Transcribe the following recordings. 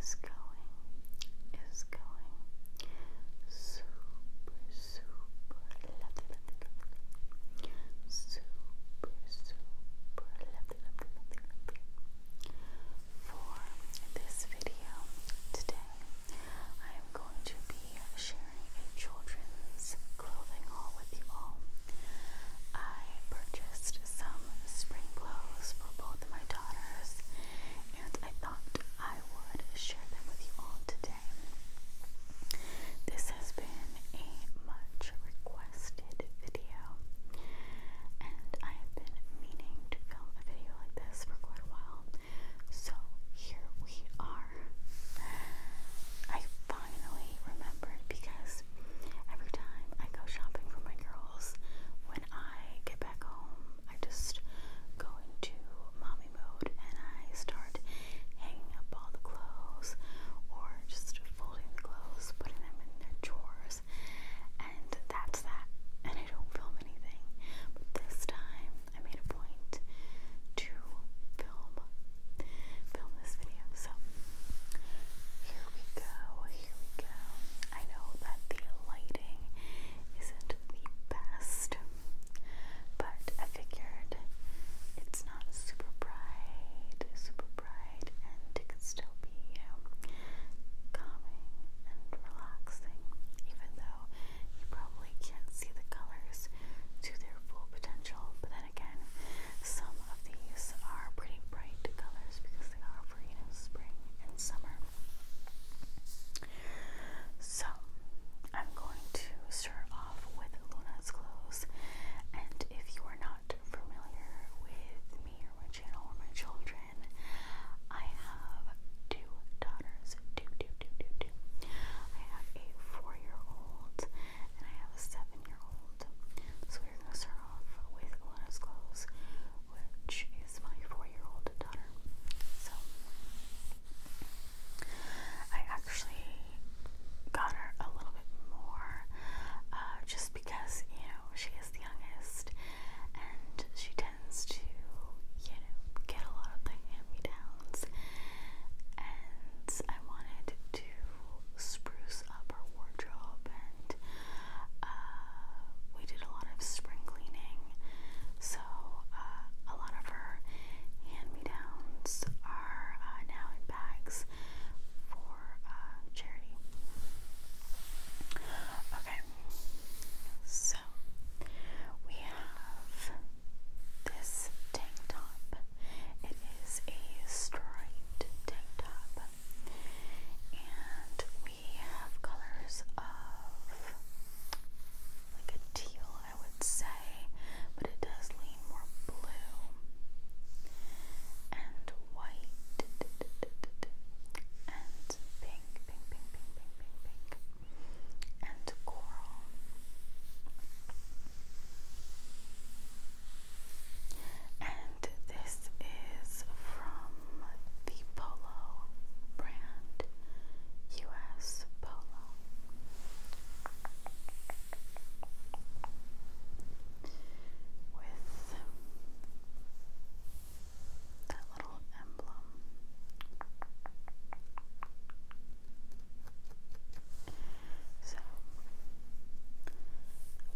is going, is going super, super lovely, lovely, lovely. super, super lovely, lovely, lovely, lovely. For this video today, I am going to be sharing a children's clothing haul with you all. I purchased some spring clothes for both my daughters, and I thought I would share them with you all today. This has been a much requested video, and I have been meaning to film a video like this for quite a while, so here we are. I finally remembered because every time I go shopping for my girls, when I get back home, I just go into mommy mode and I start hanging up all the clothes or just folding the clothes, putting them in their drawers, and that's that. And I don't film anything. But this time I made a point to film film this video. So here we go, here we go. I know that the lighting isn't the best, but I figured it's not super bright, super bright, and it can still be, calming and relaxing, even though you probably can't see the colors to their full potential. But then again, some these are pretty bright colors because they are for, you know, spring and summer. So, I'm going to start off with Luna's clothes. And if you are not familiar with me or my channel or my children, I have two daughters. Two, two, two, two, two. I have a four year old and I have a seven year old. So we're going to start off with Elena's clothes, which is my four year old daughter. So I actually got her a little bit more uh, just because, you know, she is the youngest and she tends to, you know, get a lot of the hand me downs. And I wanted to spruce up her wardrobe, and uh, we did a lot of spring cleaning. So uh, a lot of her hand-me-downs are uh, now in bags for uh, charity. Okay, so we have this tank top. It is a striped tank top, and we have colors of like a teal, I would say, but it does lean more blue and white and pink, and coral. And this is from the Polo brand, US Polo. With that little emblem. So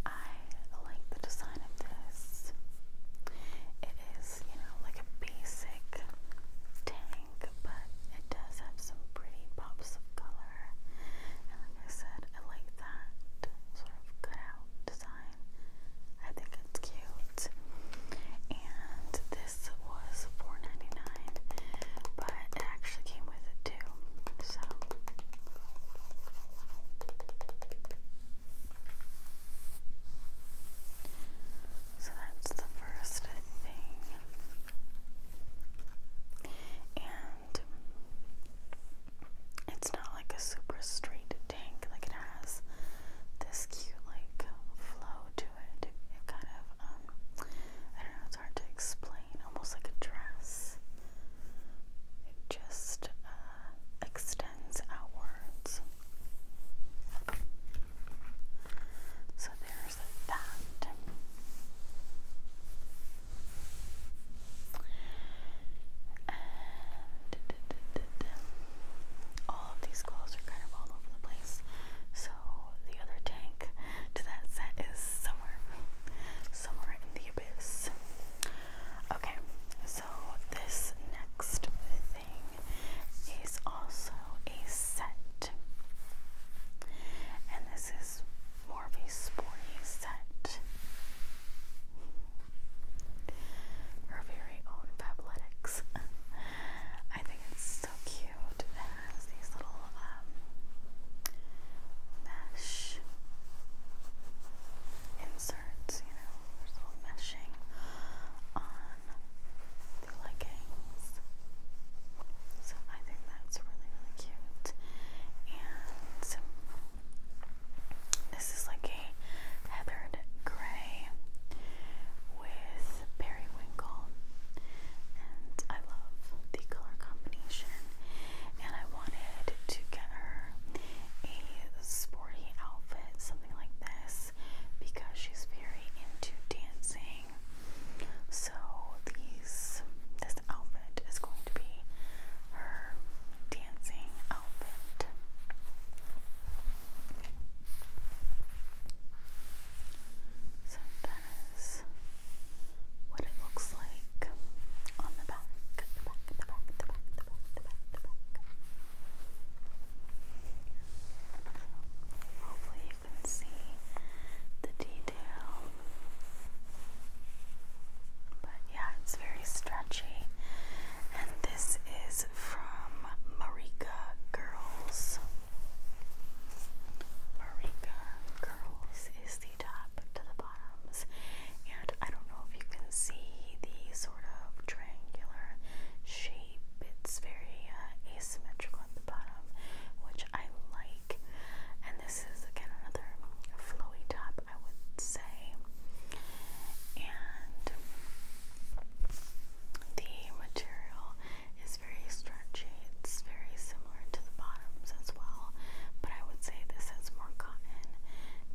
I like the design of this. It is, you know, like a basic tank, but it does have some pretty pops of color. And like I said, I like that sort of cutout design. I think it's cute. And this was 4 but it actually came with it too so so that's the first thing and it's not like a super straight tank like it has this cute like flow to it it kind of um I don't know it's hard to explain almost like a dress. It just uh, extends outwards. So there's that. all of these clothes are kind of all over the place. So the other tank to that set is somewhere, somewhere in the abyss. Okay, so this next thing is also a set, and this is more of a sporty set. Her very own Fabletics. I think it's so cute. It has these little um, mesh inserts, you know, little meshing on the leggings. So I think that's really, really cute. And this is like a heathered gray with periwinkle. And I love the color combination. And I wanted to get her a sporty outfit, something like this, because she's very into dancing. So these this outfit is going to be her dancing outfit what it looks like on the back. hopefully you can see the detail. But yeah, it's very stretchy. And this is from Marika Girls. Marika Girls is the top to the bottoms. And I don't know if you can see the sort of triangular shape. It's very uh, asymmetrical at the bottom, which I like. And this is again another flowy top, I would say. And the material is very stretchy. It's very soft similar to the bottoms as well, but I would say this has more cotton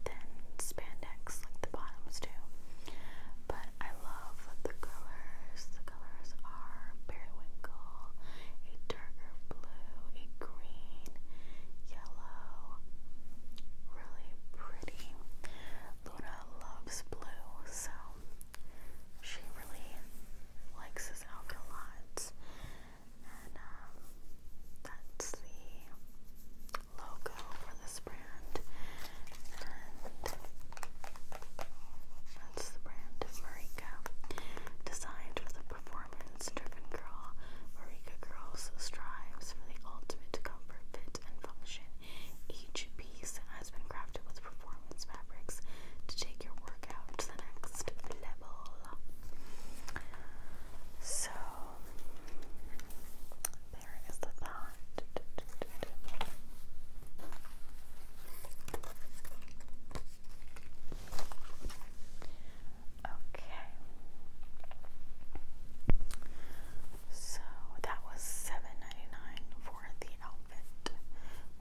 than spandex, like the bottoms do. But I love the colors. The colors are periwinkle, a darker blue, a green, yellow. Really pretty. Luna loves blue, so she really likes this outfit a lot. And um, that's the logo for this brand. And that's the brand Marika. Designed for the performance driven girl, Marika Girls strives for the ultimate comfort, fit, and function. Each piece has been crafted with performance fabrics to take your work to the next level. So, there is the thought. Okay. So that was 7 for the outfit,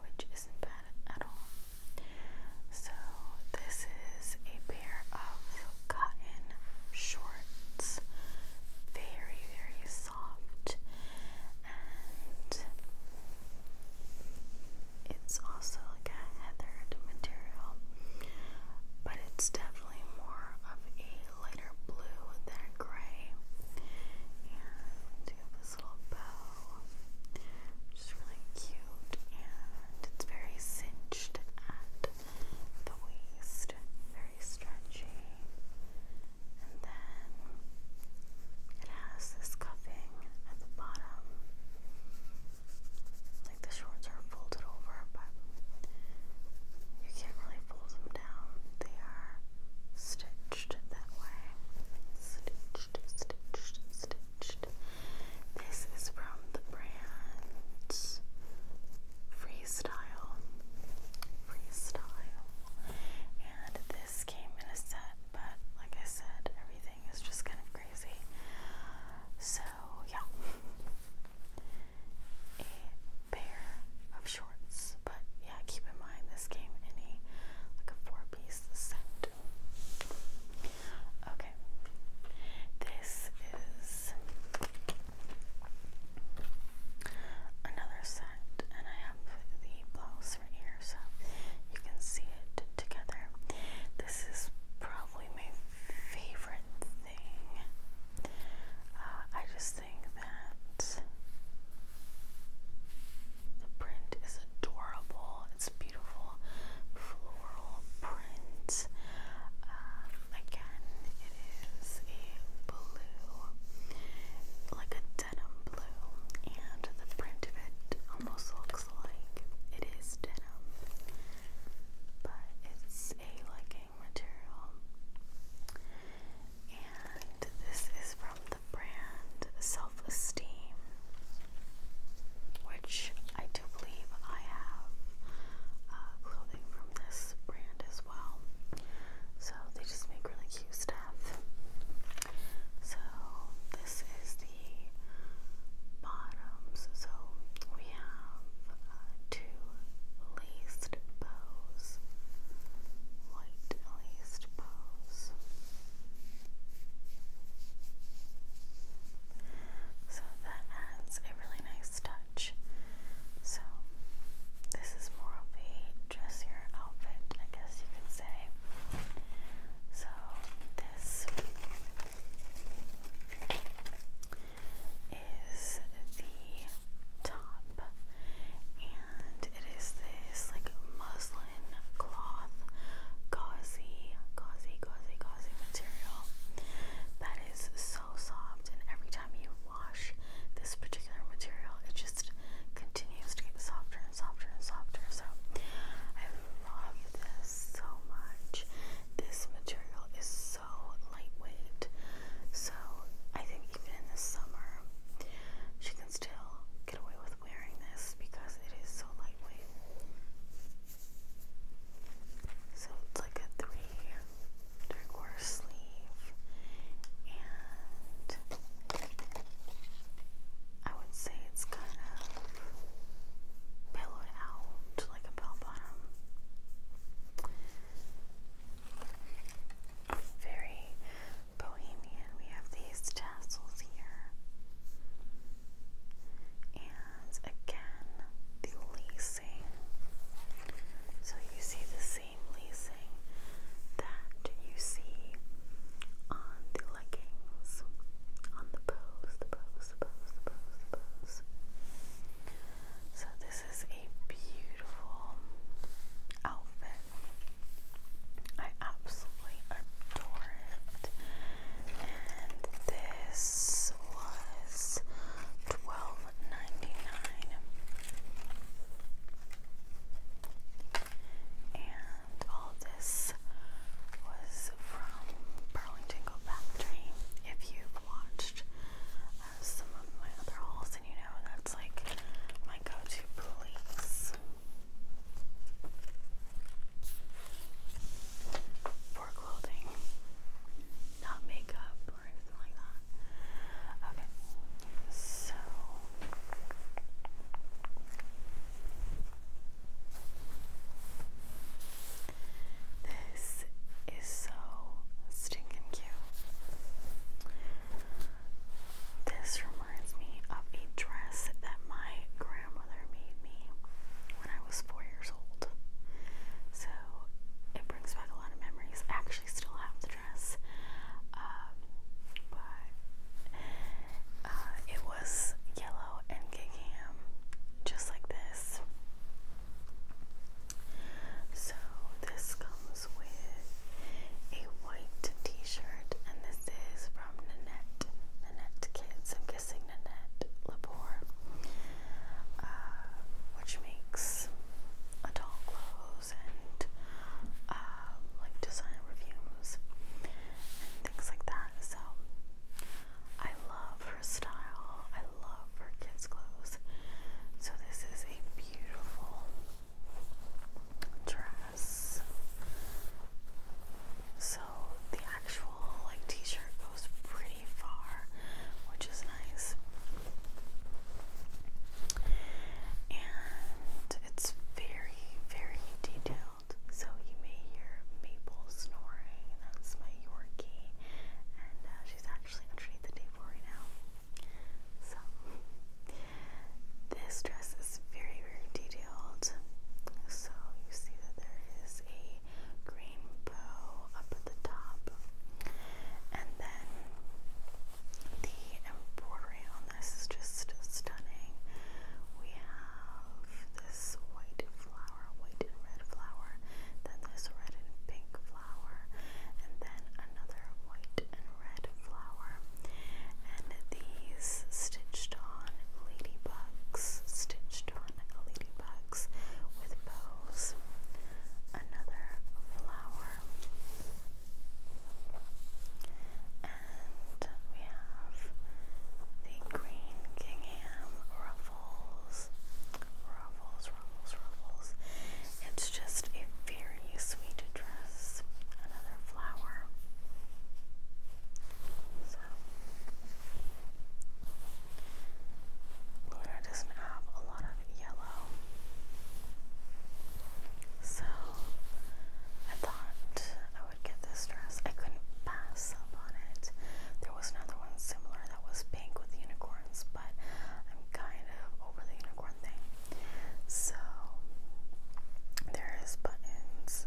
which isn't bad at all. So, this is a pair of cotton shorts, very, very soft, and it's also like a heathered material, but it's definitely more of a lighter blue than a gray. And you have this little bow, which really cute and it's very cinched at the waist, very stretchy. And then it has this cuffing at the bottom. Like the shorts are folded over, but you can't really fold them down. They are stitched that way. Stitched, stitched, stitched. This is from the brand Freestyle. Freestyle. And this came in a set, but like I said, everything is just kind of crazy. So, yeah. A pair of shorts, but yeah, keep in mind this came in a like a four-piece set. Okay. This is another set, and I have the blouse right here so you can see it together. This is probably my favorite thing. Uh, I just think that the print is adorable it's beautiful floral print. Um, again, it is a blue, like a denim blue, and the print of it almost looks like it is denim, but it's a legging material. And this is from the brand self esteem, which I do believe I have uh, clothing from this brand as well. So they just make really cute stuff. So this is the bottoms. So we have uh, two laced bows, white laced bows. So that adds a really nice touch. So this is more of a dressier outfit, I guess you could say. So this is the top and it is this like muslin cloth, gauzy, gauzy, gauzy, gauzy material that is so soft, and every time you wash this particular material, it just continues to get softer and softer and softer. So, I love this so much. This material is so lightweight, so I think even in the summer, she can still get away with wearing this because it is so lightweight. So it's like a three quarter sleeve and I would say it's kind of pillowed out like a bell bottom. Very bohemian. We have these tassels here and again the lacing. So you see the same lacing that you see on the leggings, on the pose, the pose, the pose, the pose, the pose. So this is a beautiful outfit. I absolutely adore it and this was twelve ninety nine. And all this was from Burlington Go Factory. If you've watched uh, some of my other hauls, and you know that's like my go-to police. For clothing, not makeup or anything like that. Okay, so. This is so stinking cute. This reminds me of a dress that my grandmother made me when I was four years old. So it brings back a lot of memories. I actually still have the dress, um, but uh, it was yellow and gig just like this. So this comes with a white t shirt, and this is from Nanette, Nanette Kids, I'm guessing Nanette Labor, uh, which makes adult clothes and um, like design reviews and things like that. So I love her style, I love her kids' clothes. So this is a beautiful dress. So the actual like t-shirt goes pretty far, which is nice. And it's very, very detailed. So you may hear Maple snoring. That's my Yorkie. And uh, she's actually underneath the table right now. So this dress is very, very detailed. So you see that there is a green bow up at the top. And then the embroidery on this is just stunning. We have this white flower, white and red flower, then this red and pink flower, and then another white and red flower. And these stitched on ladybugs, stitched on ladybugs with bows, another flower, and we have the green gingham ruffles, ruffles, ruffles, ruffles. It's just a very sweet dress. Another flower. So, doesn't have a lot of yellow. So, I thought I would get this dress. I couldn't pass up on it. There was another one similar that was pink with unicorns, but I'm kind of over the unicorn thing. So, there is buttons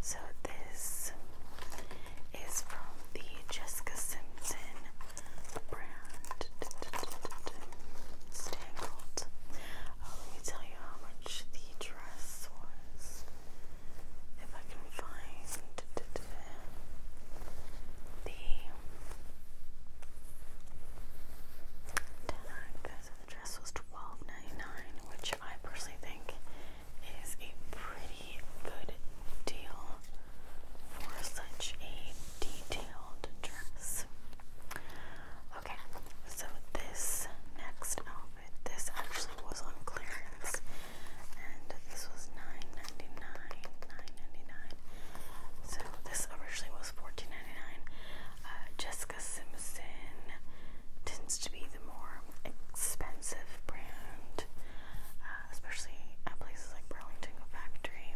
So this is from the Jessica Simpson brand. Uh, let me tell you how much the dress was. If I can find the tag, the dress was $12.99, which I personally think is a pretty good deal for such a detailed dress. Okay, so this next outfit, this actually was on clearance, and this was 9 dollars So this originally was 14 uh, just Jessica Simpson tends to be the more expensive brand, uh, especially at places like Burlington Factory.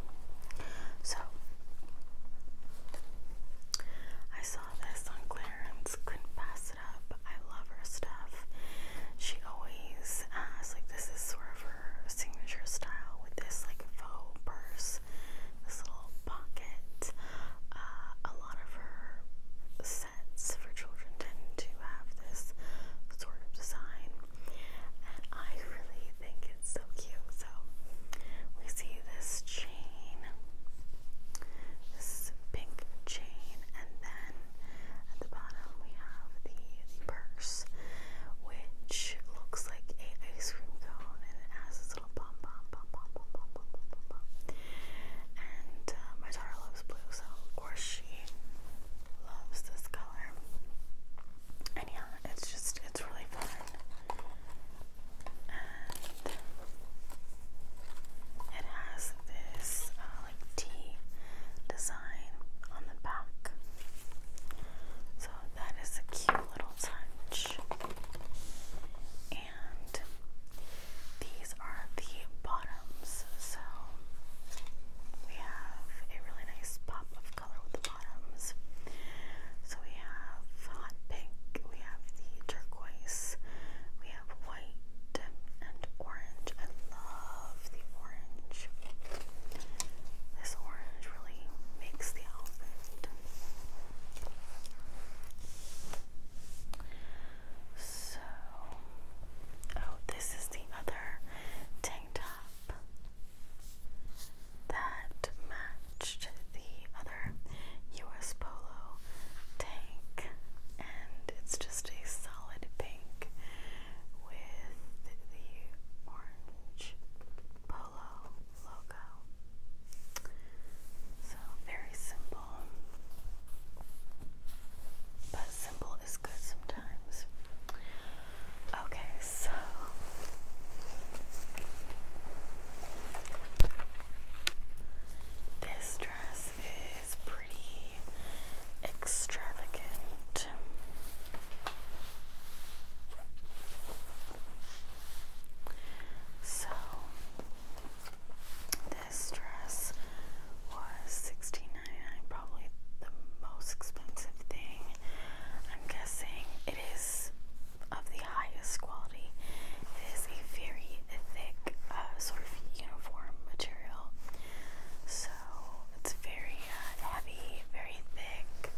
So I saw this on clearance, couldn't pass it up. I love her stuff. She always has like this is sort of her signature style with this like faux purse this little pocket. Uh, a lot of her sets for children tend to have this sort of design, and I really think it's so cute. So we see this chain, this pink chain, and then at the bottom we have the, purse, which looks like an ice cream cone, and it has and my daughter loves blue, so of course she loves this color. And yeah, it's just it's really fun. And it has this uh, like T design on the back. So that is a cute little touch. And these are the bottoms. So we have a really nice pop of color with the bottoms. So we have hot pink, we have the turquoise, we have white and orange. I love the orange. This orange really makes the outfit. So, oh, this is the other tank top that matched the other US Polo tank, and it's just a solid pink with the orange polo logo. So very simple, but simple is good sometimes. Okay, so this dress is pretty extravagant. So this dress was $16.99, probably the most expensive thing. I'm guessing it is of the highest quality. It is a very thick uh, sort of uniform material. So it's very uh, heavy, very thick.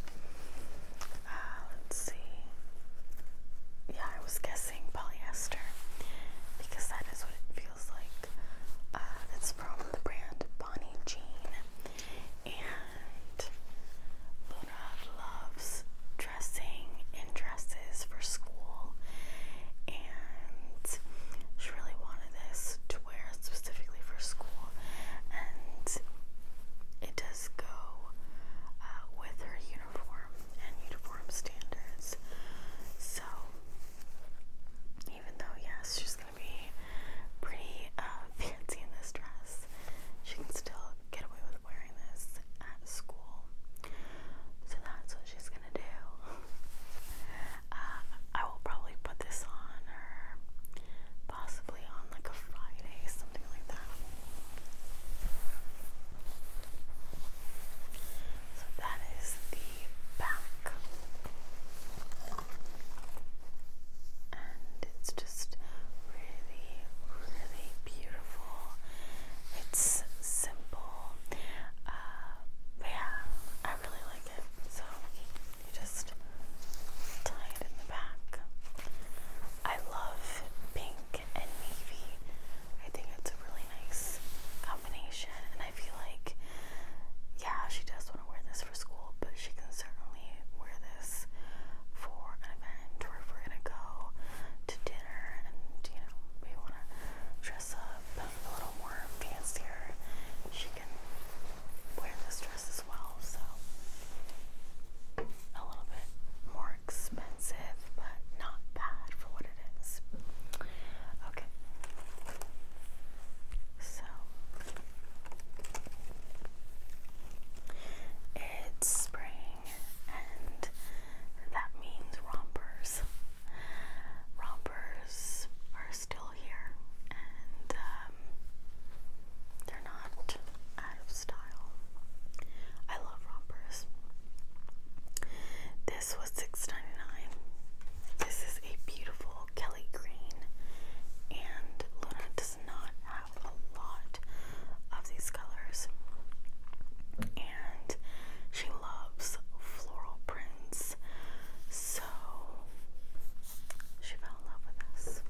Uh, let's see. Yeah, I was guessing polyester because that is what it feels like. Uh, from the brand Bonnie Jean. And Luna loves dressing in dresses for school. And she really wanted this to wear specifically for school. And it does go uh, with her uniform and uniform standards. So, even though, yes, she's gonna be pretty uh, fancy in this dress, she can still get away with wearing this at school. So, that's what she's gonna do. Uh, I will probably put this on her, possibly on like a Friday, something. So that is the back. And it's just really, really beautiful. It's simple. Uh, but yeah, I really like it. So you just tie it in the back. I love pink and navy. I think it's a really nice combination, and I feel like, yeah, she does want to wear this for school, but she can certainly wear this for an event or if we're gonna go to dinner and you know, we want to dress up a little more fancier. She can wear this dress as well, so a little bit more expensive, but not bad for what it is. Okay. So it's spring, and that means rompers. Rompers are still here, and um, they're not out of style. I love rompers. This was 6 This is a beautiful Kelly green, and Luna does not have a lot of these colors. And she loves floral prints, so she fell in love with this.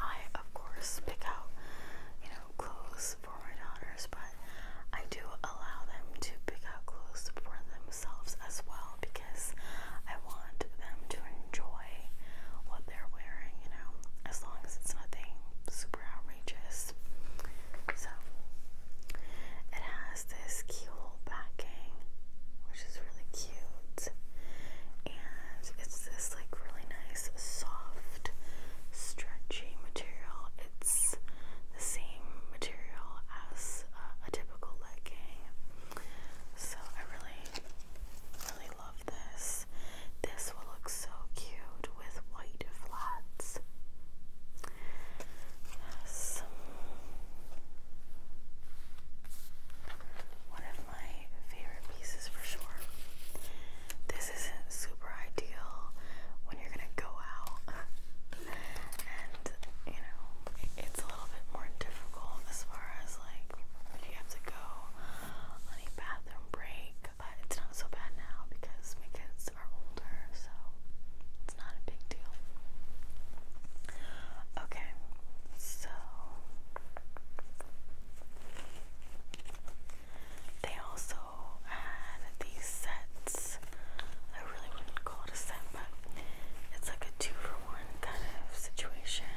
I, of course, pick out, you know, clothes for my daughters, but I do allow them to pick out clothes for themselves as well because I want them to enjoy what they're wearing, you know, as long as it's nothing super outrageous. So, it has this keyhole backing, which is really cute and it's this like really nice soft stretchy material. It's the same material as uh, a typical legging. So I really really love this. This will look so cute with white flats. Yes. One of my favorite pieces for sure. This isn't super ideal when you're gonna go out, and you know, it's a little bit more difficult as far as like if you have to go on a bathroom break, but it's not so bad now because my kids are older, so it's not a big deal. Okay, so they also had these sets. I really wouldn't call it a set, but it's like a two for one kind of situation.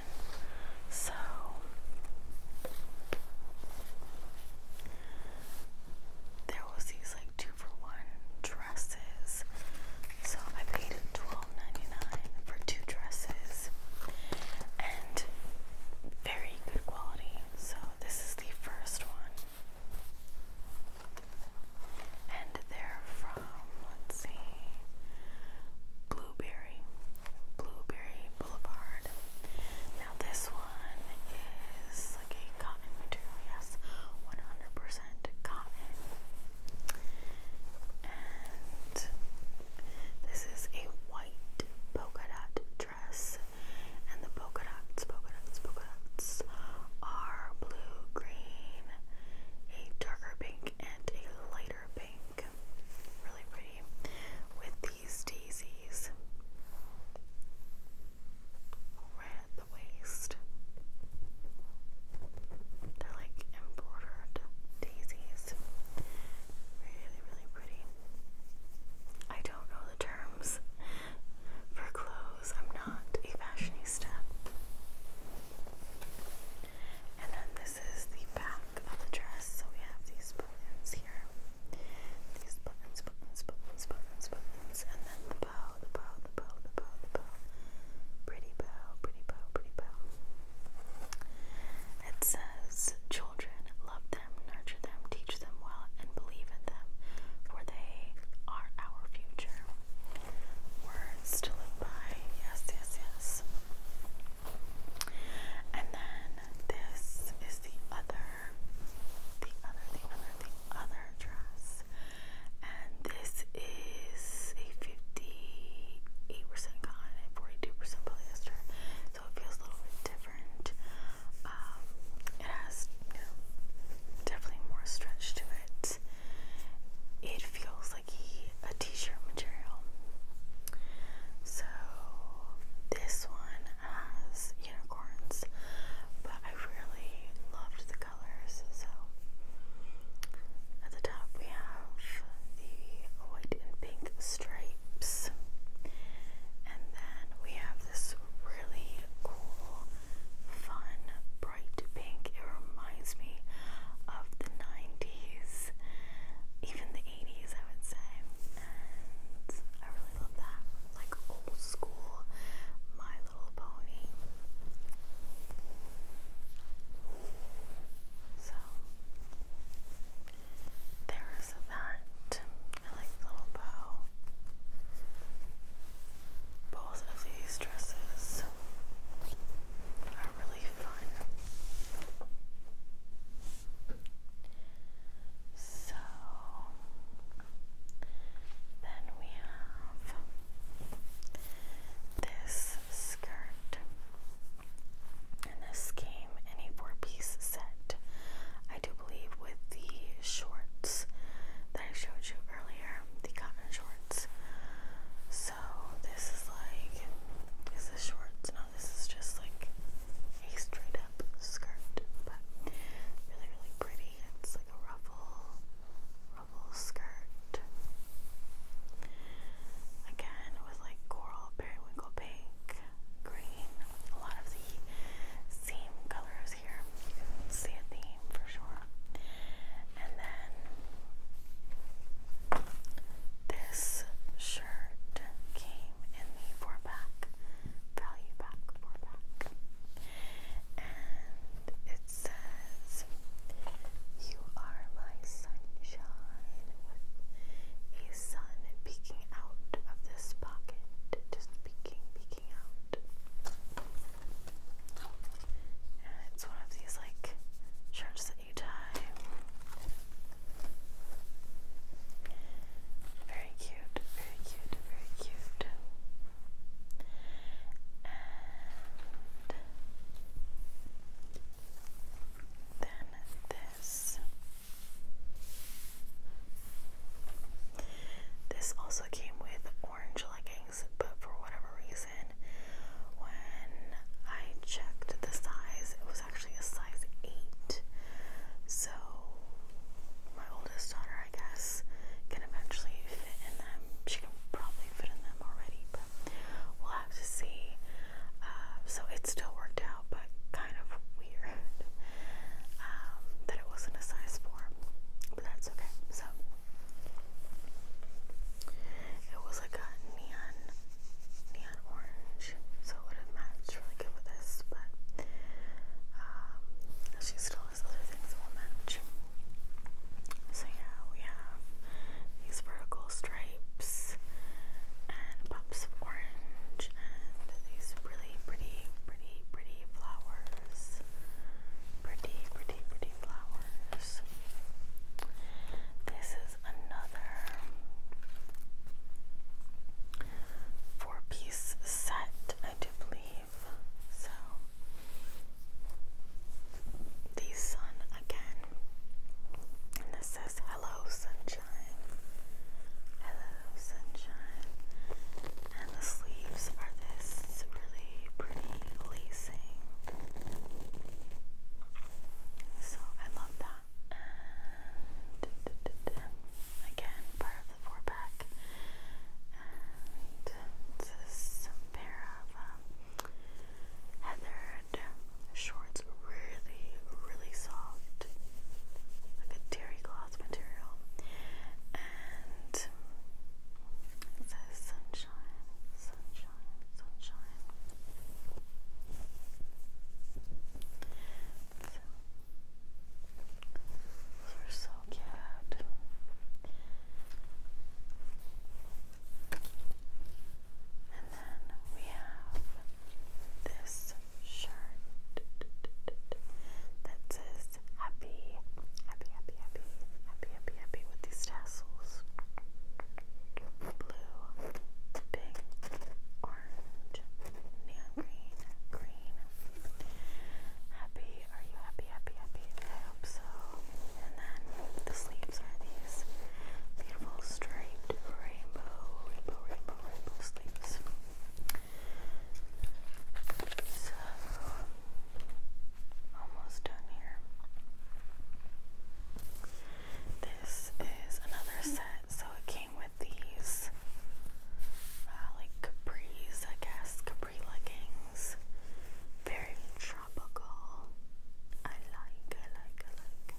So there was these like two for one dresses so I paid $12.99 for two dresses and very good quality. So this is the first one. And they're from, let's see, Blueberry, Blueberry Boulevard. Now this one is like a cotton material, yes, 100% and this is a white polka dot dress. And the polka dots, polka dots, polka dots are blue, green, a darker pink, and a lighter pink. Really pretty. With these daisies at the waist. They're like embroidered daisies. Really, really pretty. I don't know the terms for clothes. I'm not a fashionista. And then this is the back of the dress. So we have these buttons here. These buttons, buttons, buttons, buttons, buttons, and then the bow, the bow, the bow, the bow, the bow. Pretty bow, pretty bow, pretty bow. It says, Children, love them, nurture them, teach them well, and believe in them, for they are our future. Words to live by. Yes, yes, yes. And then this is the other, the other, the other, the other dress and this is a 58% cotton and 42% polyester, so it feels a little bit different. Um, it has, you definitely more stretch to it. It feels like a t-shirt material. So this one has unicorns, but I really loved colors. So at the top we have the white and pink stripes. And then we have this really cool, fun, bright pink. It reminds me of the 90s, even the 80s, I would say. And I really love that. Like old school My Little Pony. So there's that. I like the little bow. Both of these dresses are really fun. So then we have this skirt. And this came in a four-piece set. I do believe with the shorts that I showed you earlier, the cotton shorts. So this is like is this shorts? No, this is just like a straight up skirt, but really really pretty. It's like a ruffle skirt. Again, with like coral, periwinkle pink, green, a lot of the same colors here. see a theme for sure. And then this shirt came in the four pack, value pack, four pack. And it says, You are my sunshine, with a sun peeking out of this pocket, just peeking, peeking out. And it's one of these like shirts that you tie. Very cute, very cute, very cute than this. This also came with orange leggings, but for whatever reason, when I checked the size, it was actually a size 8. So, my oldest daughter, I guess, can eventually fit in them. She can probably fit in them already, We'll have to see. Um, so it still worked out, but kind of weird um, that it wasn't a size 4. But that's okay. So it was like a neon, neon orange. So it would have matched really good with this, but um, she still has other things that will match. So yeah, we have these vertical stripes and pops of orange and these really pretty, pretty, pretty flowers. Pretty, pretty, pretty flowers. This is another four piece set, I do believe. So the sun again. And this says, Hello, sunshine. Hello, sunshine. And the sleeves are this really pretty lacing. So I love that. And again, part of the four pack. And this is a pair of um, heathered shorts, really, really soft, like a terry cloth material. And it says sunshine, sunshine, sunshine. So, those are so cute. And then we have this shirt that says happy, happy, happy, happy, happy, happy, happy with these tassels. Blue, pink, orange, neon green, green. Happy, are you happy, happy, happy? I hope so. And then the sleeves are these beautiful striped rainbow, rainbow, rainbow, rainbow sleeves. So, almost done here. This is another set, so it came with these uh, like capris, I guess, capri leggings. Very tropical. I like, I like, I like.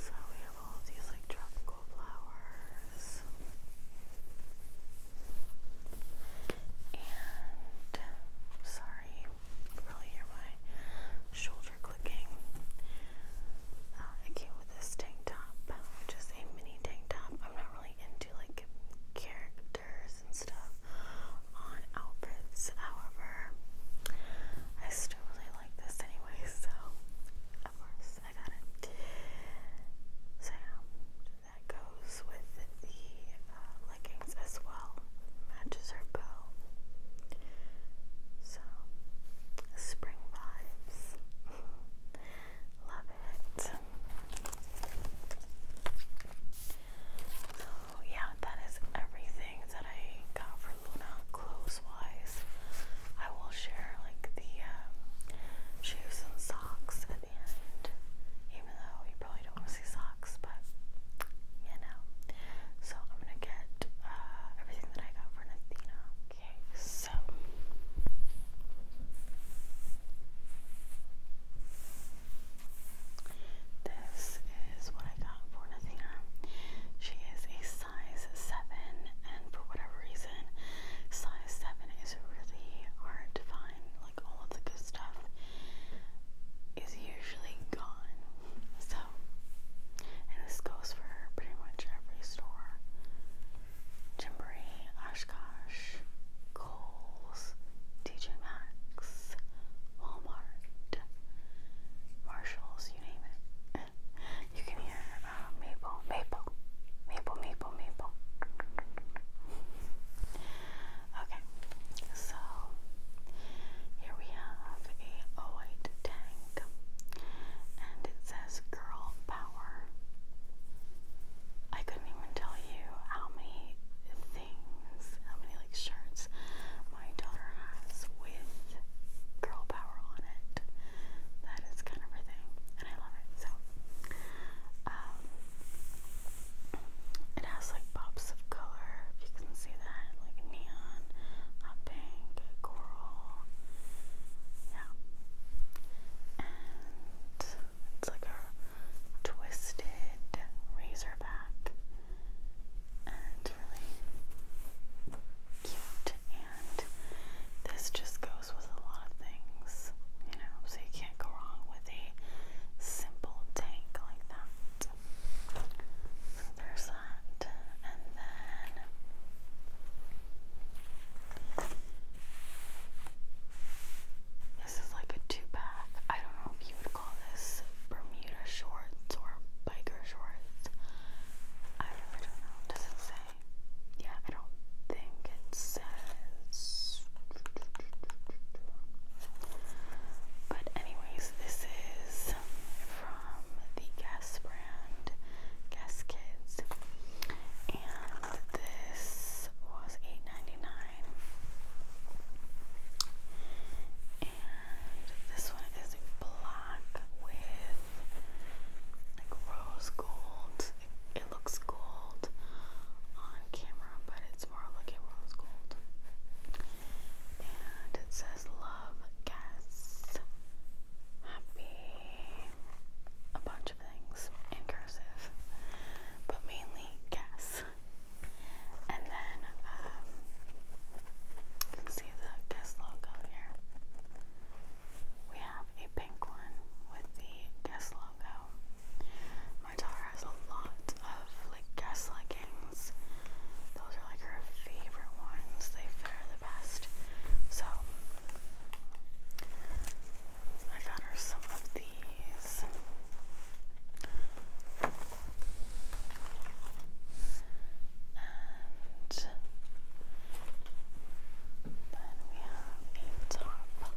So we have all these like tropical flowers. And sorry, really hear my shoulder clicking. Uh, came with this tank top, which a mini tank top. I'm not really into like character colors and stuff on outfits. However, I still really like this anyway, so of course I got it. So that goes with the uh, leggings as well. Matches her bow. So spring vibes. Love it yeah, that is everything that I got for Luna clothes wise. I will share like the um, shoes and socks at the end, even though you probably don't want to see socks, but you know. So I'm gonna get uh, everything that I got for Nathina. Okay, so. This is what I got for Nathina. She is a size 7, and for whatever reason, size 7 is really hard to find. Like, all of the good stuff is usually gone. So, and this goes for pretty much every store Gymboree, Oshkosh, Kohl's, TJ Maxx, Walmart, Marshalls, you name it. you can hear maple, maple, maple, maple, maple. Okay, so here we have a white tank and it says Girl Power. I couldn't even tell you how many how many like shirts my daughter has with girl power on it. That is kind of her thing, and I love it. So, um, it has like pops of color, if you can see that, like neon, hot pink, coral. Yeah. And it's like a twisted razorback, and really cute. And this just goes with a lot of things, you know, so you can't go wrong with a simple tank like that. there's that, and then. This is like a two pack. I don't know if you would call this Bermuda shorts or biker shorts. I don't know. Does it say? Yeah, I don't think it says. But, anyways, this is from the Guess brand, Guess Kids. And this was 8 and this one is black with like rose gold. It, looks gold on camera, but it's more like a rose gold. And it says love, guess, happy, a bunch of things in but mainly guess this. And then you um, can see the Guess logo here. We have a pink one with the Guess logo. Martara has a lot of like Guess leggings. Those are like her favorite ones. They fit her the best. So I got her some of these. And then we have a top.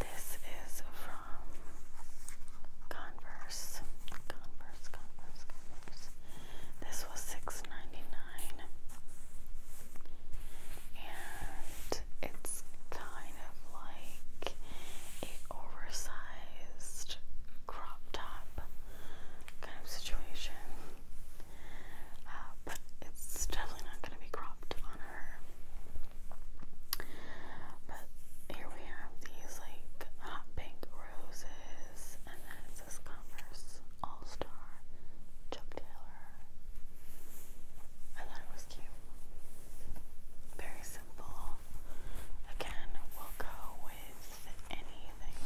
This is from Converse. Converse, Converse, Converse. This was 6 And it's kind of like a oversized crop top kind of situation. Uh, but it's definitely not going to be cropped on her. But here we have these like hot pink roses, and then it says Converse All Star Chuck Taylor. I thought it was cute. Very simple. Again, will go with anything.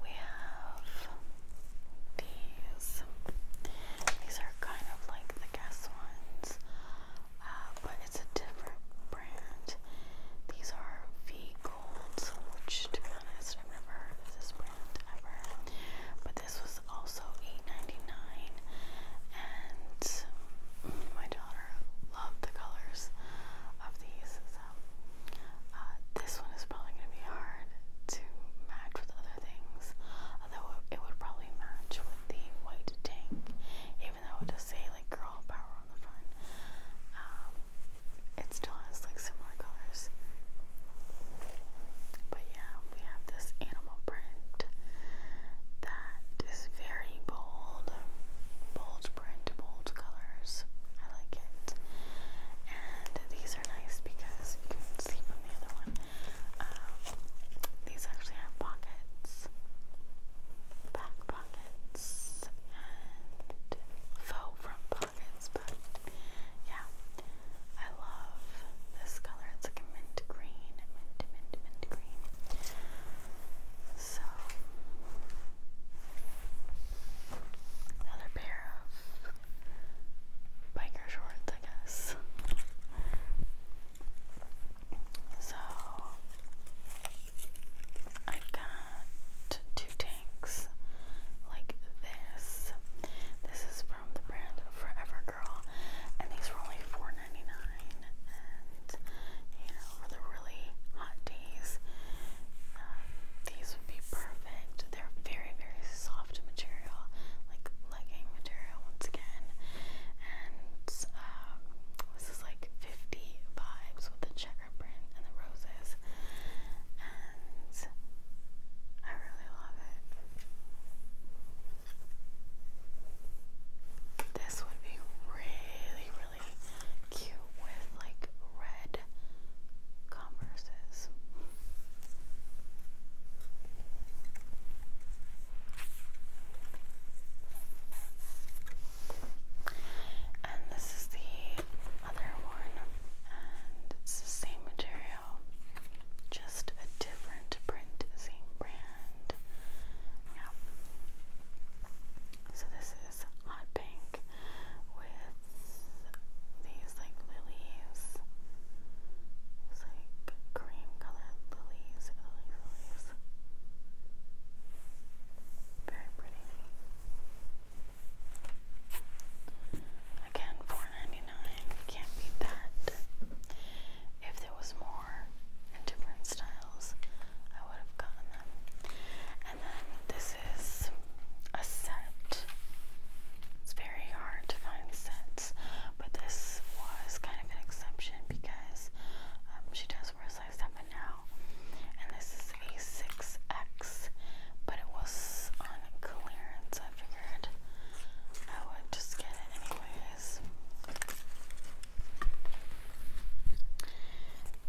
We have these. These are kind of like the Guess ones, uh, but it's a different brand. These are V Golds, which to be honest, this brand ever. But this was also $8.99 and my daughter loved the colors of these. So uh, this one is probably going to be hard to match with other things, although it would probably match with the white tank, even though it does say like girl power on the front. Um, it still has like similar colors. But yeah, we have this animal print that is very bold, bold print, bold colors. I like it. And these are nice because you can see from the other one. Um, these actually have pockets, back pockets, and faux front pockets. But yeah, I love this color. It's like a mint green, mint, mint, mint green. So, another pair of biker shorts, I guess. So, I got two tanks like this. This is from the brand Forever Girl, and these were only 4 And you know, for the really hot days, uh, these would be perfect. They're very, very soft material, like legging material, once again. And um, this is like 50 vibes with the checker print and the roses. And I really love it. This would be really, really cute with like red converses. And this is the other one, and it's the same material just a different print, same brand. Yeah. So this is hot pink with these like lilies. like cream colored lilies, lily lilies. Very pretty. Again, $4.99. Can't beat that. If there was more and different styles, I would have gotten them. And then this is a set. It's very hard to find sets, but this was kind of an exception because um, she does wear a size 7 now. And this is a 6X, but it was on clearance, I I figured I would just get it anyways.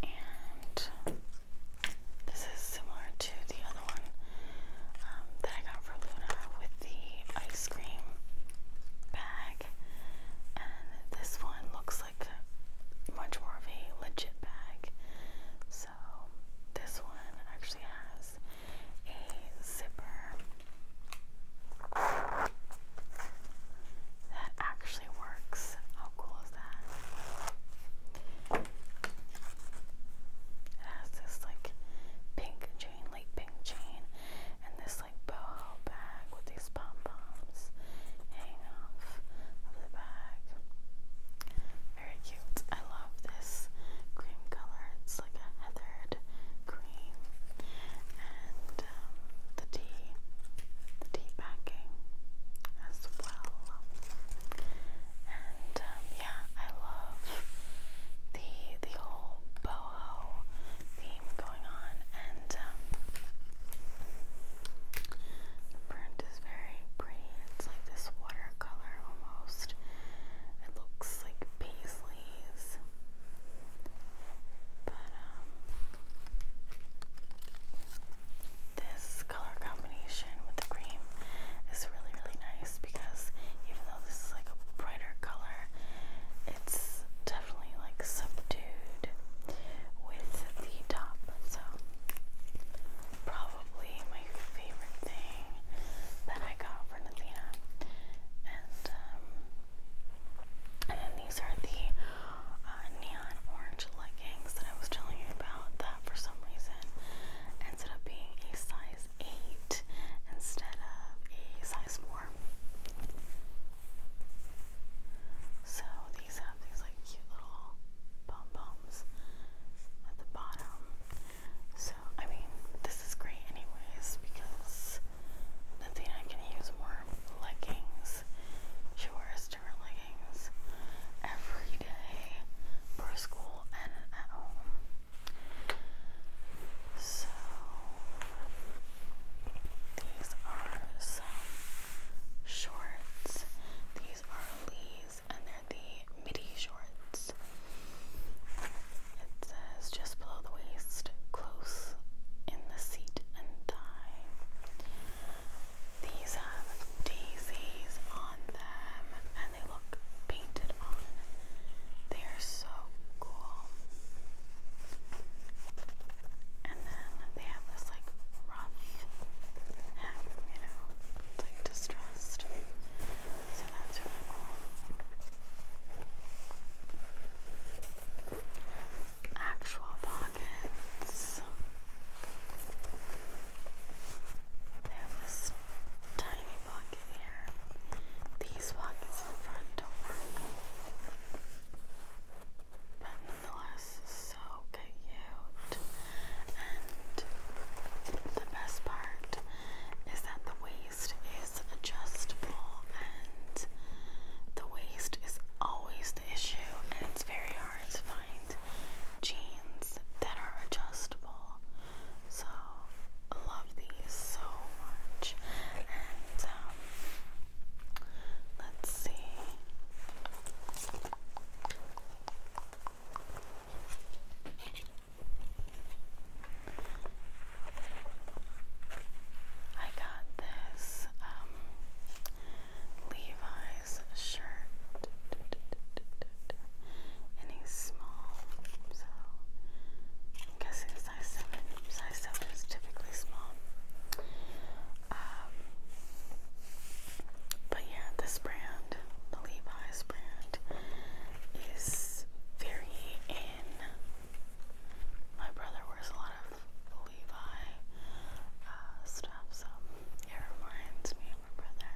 And this is similar to the other one um, that I got for Luna with the ice cream bag. And this one looks like much more of a legit bag. So this one actually has a zipper that actually works. How cool is that? It has this like pink chain, light pink chain, and this like boho bag with these pom poms hanging off of the bag. Very I love this cream color. It's like a heathered cream. And um, the tea, the tea backing as well. And um, yeah, I love the the whole boho theme going on. And um, the print is very pretty. It's like this watercolor almost. It looks like paste sleeves. But um this color combination with the cream is really really nice because even though this is like a brighter color, it's definitely like subdued with the top. So probably my favorite thing that I got for Nathena. And, um, and then these are the uh, neon orange leggings that I was telling you about that for some reason ended up being a size 8 instead of a size 4. So these have these like cute little pom poms at the bottom. So so, I mean, this is great, anyways, because Nathina can use more leggings. She wears different leggings every day for school and at home. So, these are some shorts. These are Lee's, and they're the midi shorts shorts. It says just below the waist, close in the seat and thigh. These have daisies on them and they look painted on. They are so cool. And then they have this like rough you know, like distressed. So that's Actual pockets. They have this tiny pocket here. These pockets in front don't work. But nonetheless, so cute. And the best part is that the waist is adjustable and the waist is always the issue and it's very hard to find jeans that are adjustable. So I love these so much. And um, let's see. I got this um, Levi's shirt and he's small, so I'm guessing size 7. Size 7 is typically small. Um, but yeah, this brand, the Levi's brand, is very in. My brother wears a lot of Levi uh, stuff, so it reminds me of my brother.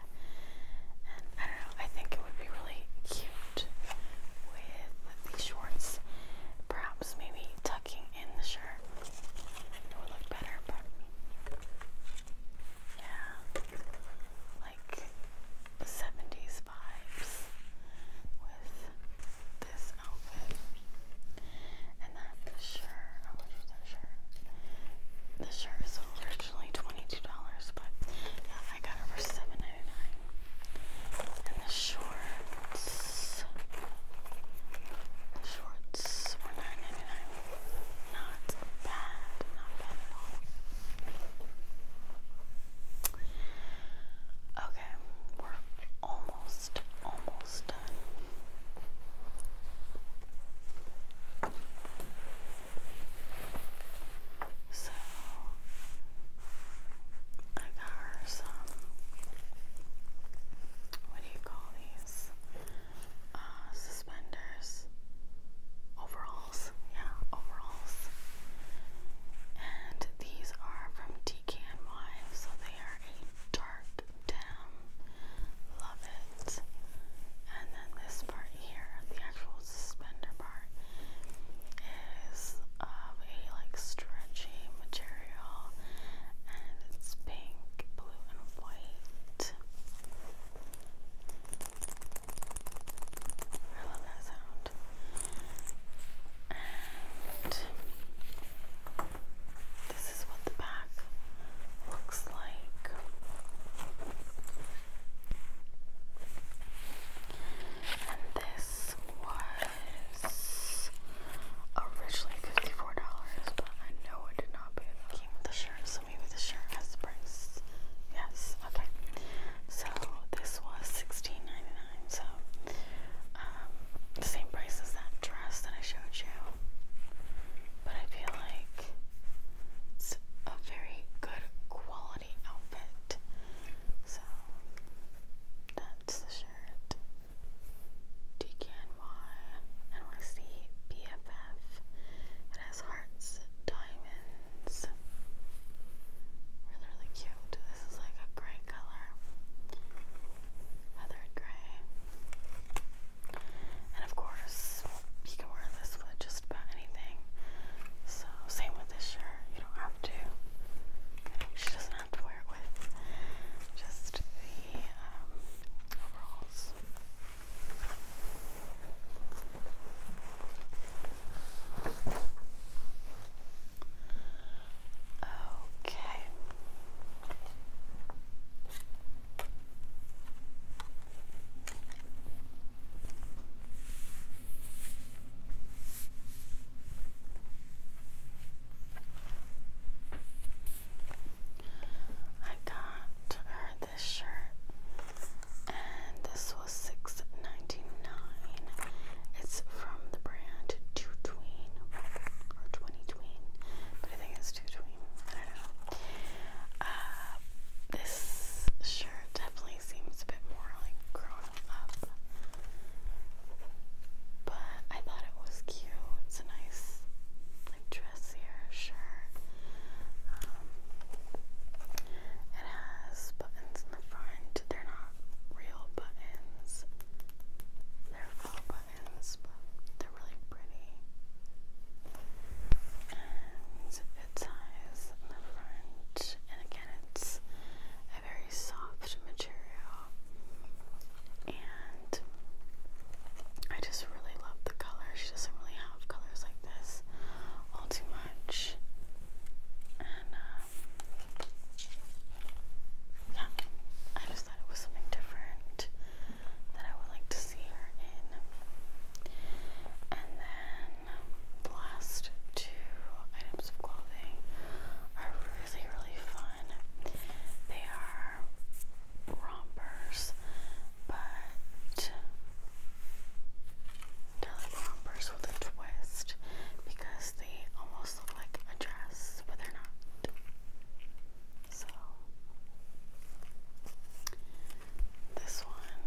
And I don't know, I think it would be really cute with these shorts. Perhaps maybe tucking in the shirt. It would look better, but yeah. 70s vibes with this outfit. And that shirt, how shirt? The is originally $22, but I got it for 7 And the shorts, shorts were 9 dollars Not bad, not bad at all. Okay, we're almost, almost done. So, I got her some, what do you call these? Uh, suspenders, overall overalls. Yeah, overalls. And these are from Decan Wives, so they are a dark denim. Love it. And then this part here, the actual suspender part, is of a like stretchy material and it's pink, blue, and white. I love that sound. And this is what the back looks like. And this was originally $54, but I know it did not pay that. Came with the shirt, so maybe the shirt has the price Yes, okay. So this was sixteen ninety nine, so um, the same price as that dress that I showed you. But I feel like it's a very good quality outfit. So that's the shirt. DKNY NYC BFF. It has hearts, diamonds really, really cute. This is like a gray color, feathered gray. And of course, you can wear this with just about anything. So, same with this shirt. You don't have to. She doesn't have to wear it with just the um, overalls. Okay. I got this shirt and this was $6.99. It's from the brand Two Tween or Twenty Tween, but I think it's Two Tween. I don't know. Uh, this shirt definitely seems a bit more like grown up, but I thought it was cute. It's a nice, like dressier shirt. Um, it has buttons front. They're not real buttons. They're faux buttons, but they're really pretty. And it ties in the front. And again, it's a very soft material. And I just really love the color. She doesn't really have colors like this all too much. And um, yeah, I just thought it was something different that I would like to see her in. And then the last two items of clothing are really, really fun. They are rompers, but they with a twist because they almost look like a dress, but they're not. So this one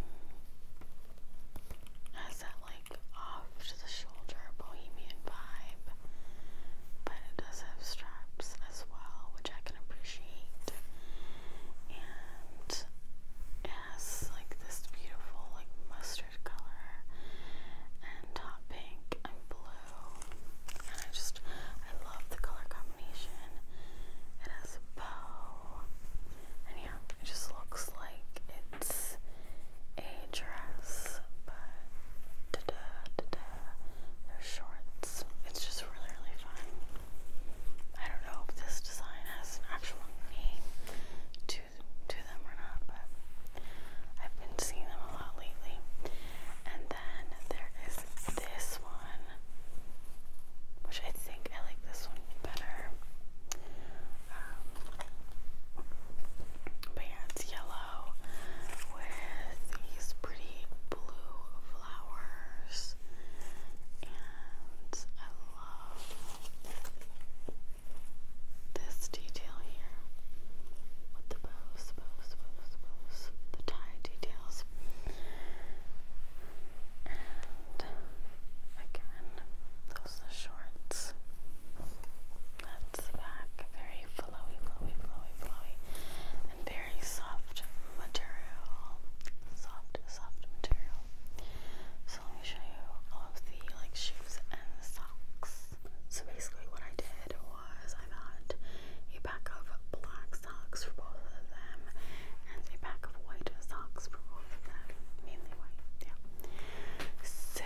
has that like off to the shoulder bohemian vibe, but it does have straps as well, which I can appreciate and it like this beautiful like mustard color and hot pink and blue and I just I love the color combination it has a bow and yeah it just looks like it's a dress but da da da da they're shorts it's just really really fun I don't know if this design has an actual name to to them or not, but I've been seeing them a lot lately. And then there is this one, which I think I like this one better. Um, it's yellow with these pretty blue flowers, and I love this detail here with the bows, the tie details. And again, those shorts. That's the back. Very flowy, flowy, flowy, flowy. And very soft material. Soft, soft material. So let me show you all of the like shoes and socks. So basically what I did was I got a pack of black socks for both of them and a pack of white socks for both of them. Mainly white, yeah. So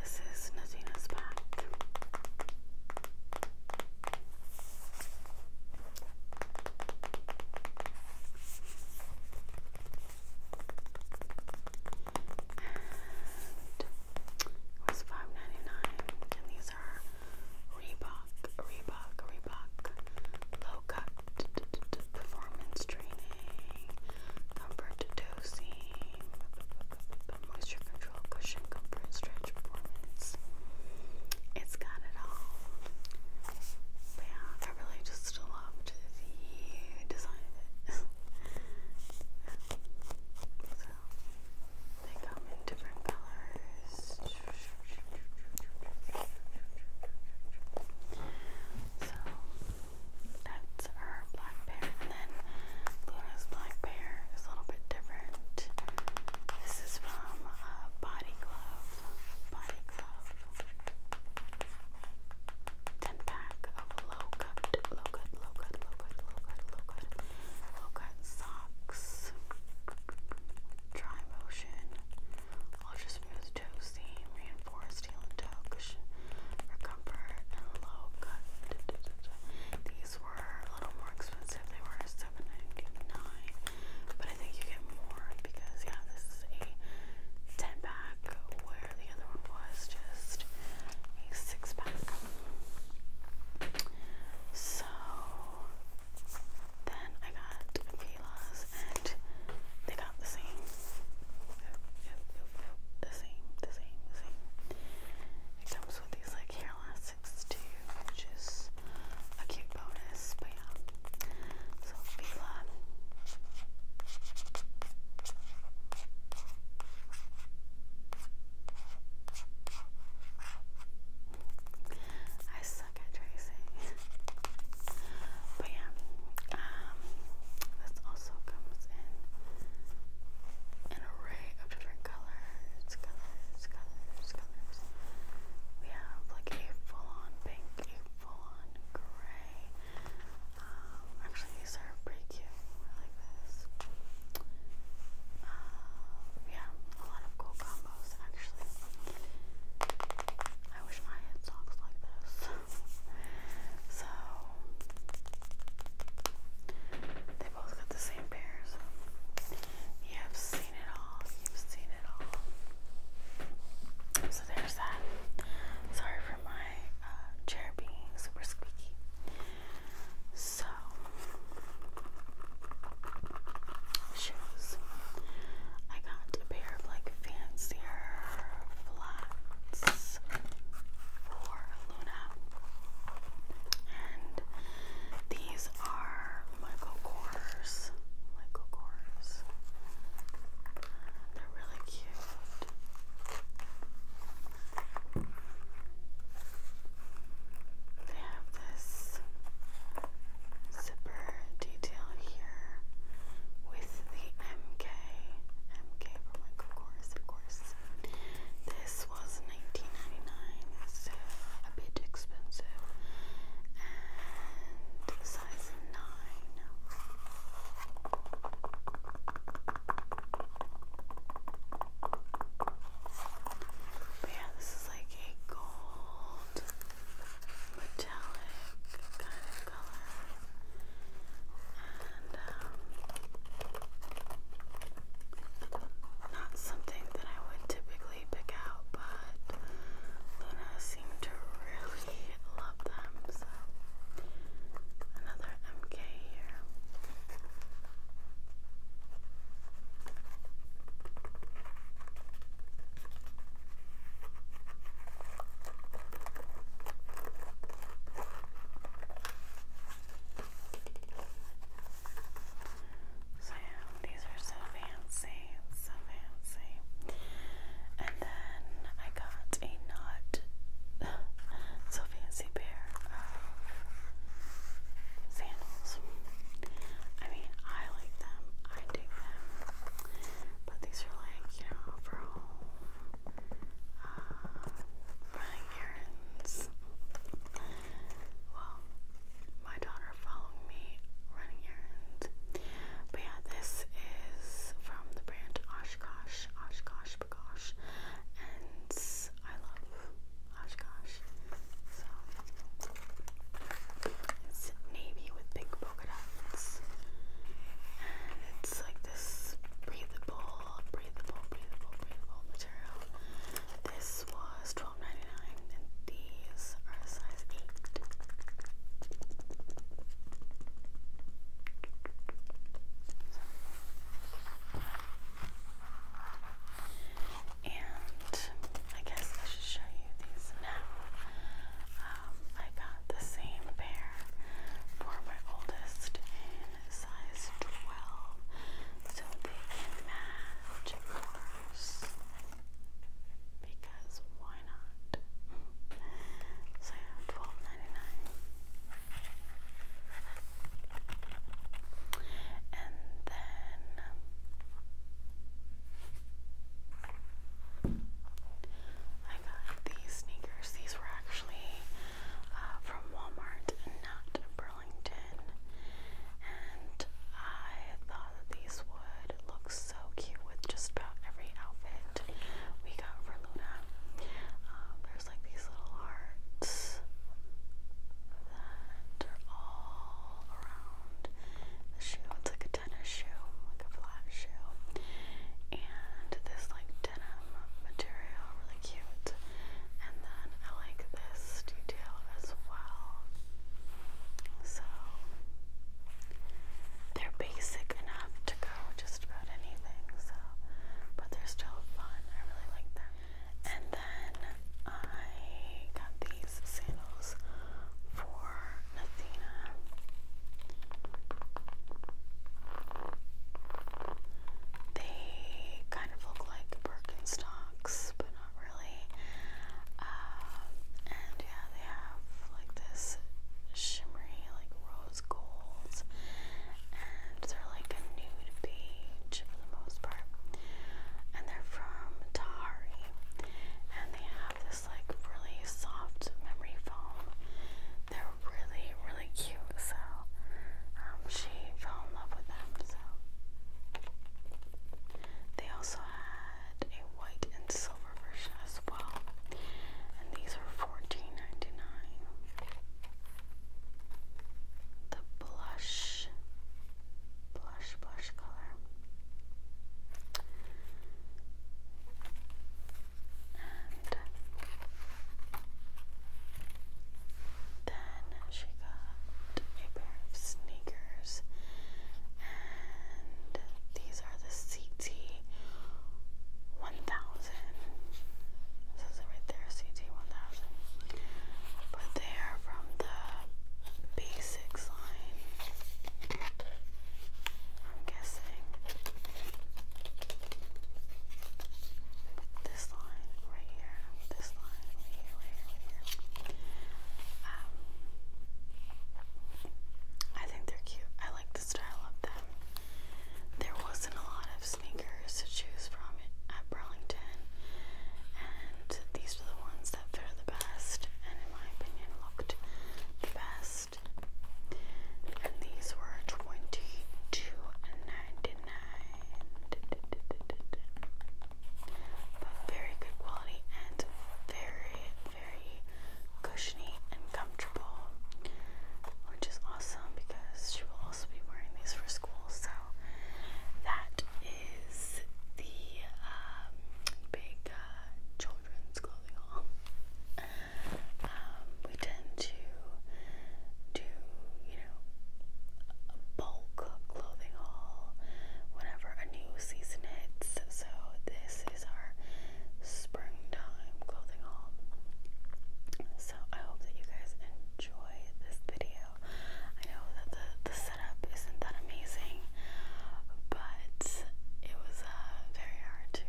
this is Nadina's pack it was five ninety nine, and these are Reebok, Reebok, Reebok, low cut performance training, comfort dosing, moisture control, cushion comfort, stretch it's got it all. yeah, I really just loved the design so they come in different colors. So that's our black bear, and then Luna's black bear is a little bit different. And this is from uh, Body Glove. Body Glove. 10 pack of low cut, low cut, low cut, low cut, low cut, low cut, low cut socks. Dry motion. Ultra smooth toe seam, reinforced heel and toe cushion for comfort and low cut. These were a little more expensive. They were 7 but I think you get more because yeah, this is a 10 pack where the other one was just a 6 pack. So then I got Pila's and they got the same. The same, the same, the same. It comes with these like hair six two, which is a cute bonus, but yeah. So Fila. I suck at tracing. but yeah, um, this also comes in an array of different colors colors, colors, colors, We have like a full-on pink, a full-on gray. Um, actually, these are pretty cute. like this. Um, yeah, a lot of cool combos actually. I wish I had socks like this. so they both got the same. St. You have seen it all. You've seen it all. So there's that. Sorry for my uh, chair being super squeaky. So, shoes. I got a pair of like fancier flats for Luna. And these are Michael Kors. Michael Kors. They're really cute. They have this zipper detail here with the MK. MK for Michael Kors, of course. This was 1999, a bit expensive. And size 9. yeah, this is like a gold metallic kind of color. And um, not something that I would typically really pick out, but Luna seemed to really love them, so another MK here. So these are so fancy, so fancy. And then I got a not so fancy pair of sandals. I mean, I like them, I dig them, but these are like, you know, for home, uh, running errands. Well, my daughter followed me running errands. But yeah, this is from the brand Oshkosh, Oshkosh Bagosh, and I love Oshkosh. So it's navy with big polka dots, and it's like this breathable, breathable, breathable, breathable material. This this was 12 and these are size 8. And I guess I should show you these now. Um, I got the same pair for my oldest in size 12, so they match because why not? so twelve ninety nine. And then I got these sneakers. These were actually uh, from Walmart and not Burlington. And I thought these would look so cute with just about every outfit we got for Luna. Um, there's like these little hearts that are all around the shoe. It's like a tennis shoe, like a flat shoe. And this like denim material, really cute. And then I like this detail as well. So they're basic enough to go just about anything, so but they're still fun. I really like them. And then I got these sandals for Nathina. They kind of look like Birkenstocks, but not really. Uh, and yeah, they have like this shimmery, like rose gold, and they're like a nude beige for the most part. And they're from Tahari, and they have this like really soft memory foam. They're really, really cute. So um, she fell in love with them. So. They also had a white and silver version as well. And these are 14 The blush, blush, blush color. And then she got a pair of sneakers, and these are the CT 1000. This is it right there, CT 1000. But they are from the Basics line, I'm guessing. This line right here this line um, I think they're cute. I like the style of them. There wasn't a lot of sneakers to choose from at Burlington, and these were the ones that fit the best, and in my opinion, looked the best. And these were twenty two ninety nine but very good quality and very, very cushiony and comfortable, which is awesome because she will also be wearing these for school. So that is the um, big uh, children's clothing haul. Um, we tend to do, you know, bulk clothing haul whenever a new season hits. So this is our springtime clothing haul. So I hope that you guys enjoy this video. I know that the, the setup isn't that amazing, but it was uh, very hard to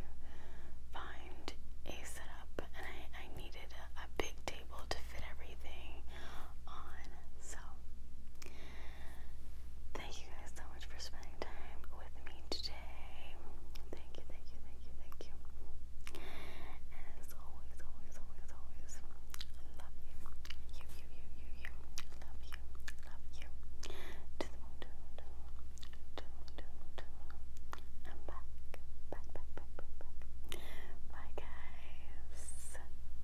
find a setup, and I, I needed a, a big table to fit everything on. So Thank you guys so much for spending time with me today. Thank you, thank you, thank you, thank you. as always, always, always, always, love you. You, you, you, you, you. Love you, love you. To the moon, to the moon, I'm back, back, back, back, back. Bye, guys.